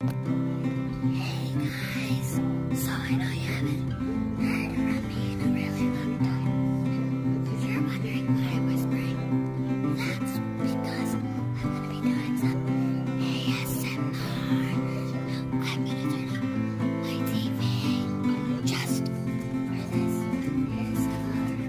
Hey guys, so I know you haven't heard from me in a really long time. If you're wondering why I'm whispering, that's because I'm going to be doing some ASMR. I'm going to turn up my TV just for this ASMR.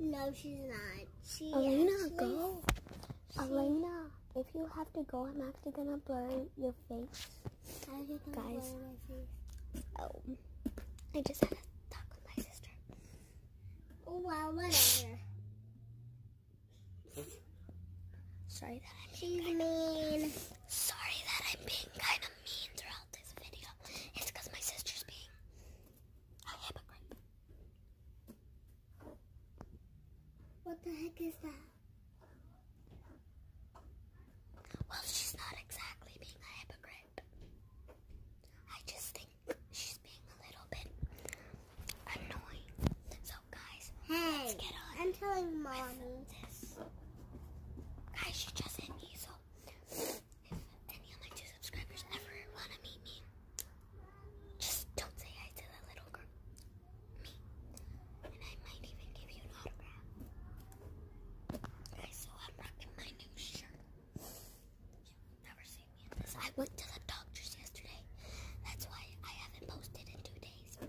No, she's not. She Elena, go. Elena, if you have to go, I'm actually gonna blur your face. Guys. Oh, I just had talk with my sister. Oh, well, whatever. Sorry that She's mean. Sorry that I'm being kind of mean throughout this video. It's because my sister's being a hypocrite. What the heck is that? Well, she's not exactly being a hypocrite. I just think she's being a little bit annoying. So, guys, hey, I'm telling mommy. This. Guys, she just hit me, so if any of my two subscribers ever want to meet me, just don't say hi to that little girl. Me. And I might even give you an autograph. Guys, so I'm rocking my new shirt. I went to the doctor's yesterday. That's why I haven't posted in two days.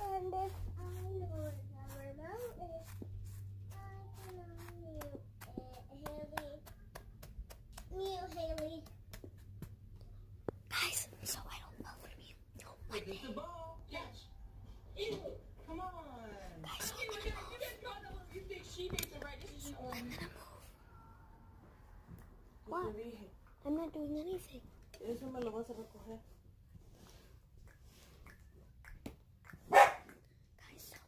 And if I was a mountain, I can mute Haley. Mute Haley. Guys, so I don't know what you know what the ball. Yes. Ew, come on. Guys, oh you, you, you think she makes the right decision on i What? I'm not doing anything. Eso me lo vas a recoger. Guys, so a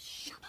shovel.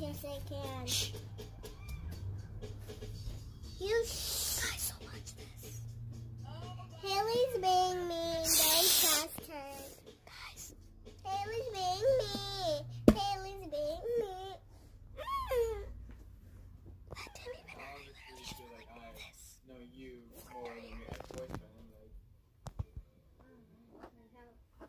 Yes, I can. Shh. You guys so much Haley's being mean. Don't trust her. Guys. Haley's being mean. Haley's being mean. Mm. I literally you more than your ex-boyfriend. Oh,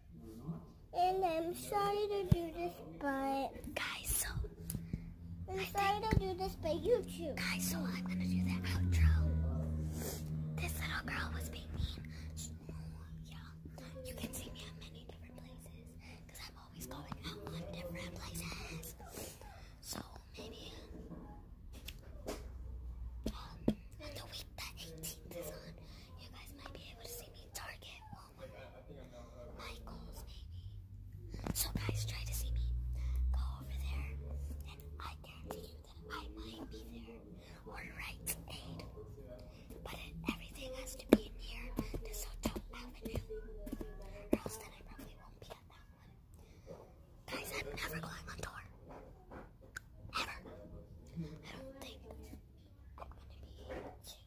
And I'm sorry to do this, but guys, so I'm I sorry think, to do this, but YouTube. Guys, so I'm gonna do the outro. This little girl was being mean. She, yeah, you can see me in many different places because I'm always going out on different places. So maybe um, on the week that 18th is on, you guys might be able to see me Target my goals, maybe. So guys, try to see me go over there, and I guarantee you that I might be there or right aid. But everything has to be near to Soto Avenue, or else then I probably won't be at that one. Guys, I'm never going on tour. Ever. I don't think I'm gonna be.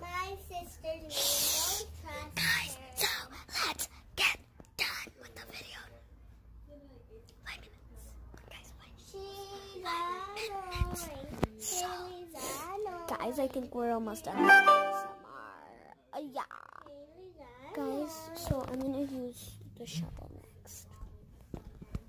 My sister's video. Guys, so let's get done with the video. Five minutes. Guys, five minutes. So, guys, I think we're almost done uh, yeah. Guys, so I'm going to use the shovel next.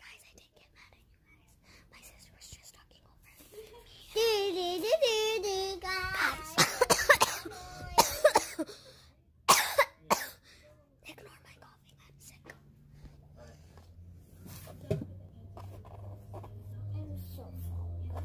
Guys, I did get mad at you guys. My sister was just talking over me. Ignore my coughing. I'm sick. I'm so sorry.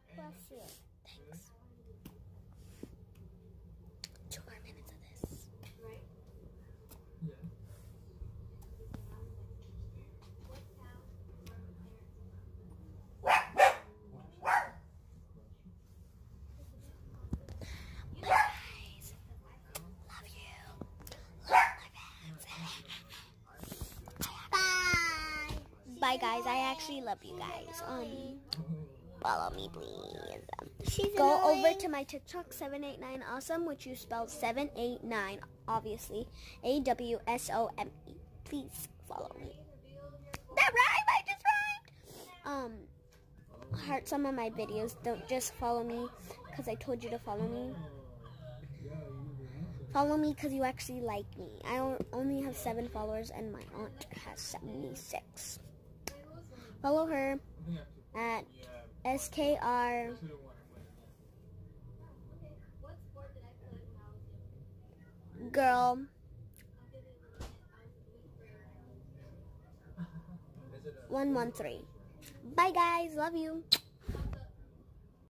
Bless you. Thanks. Two more minutes of this. Bye guys, love you, love my pants. Bye. Bye, guys. I actually love you guys. Um, follow me, please. She's Go over to my TikTok, 789awesome, which you spell 789, obviously. A-W-S-O-M-E. Please follow me. That rhymed! I just rhymed! Um, heart some of my videos. Don't just follow me because I told you to follow me. Follow me because you actually like me. I only have seven followers and my aunt has 76. Follow her at SKR. Girl. One one three. Bye guys, love you.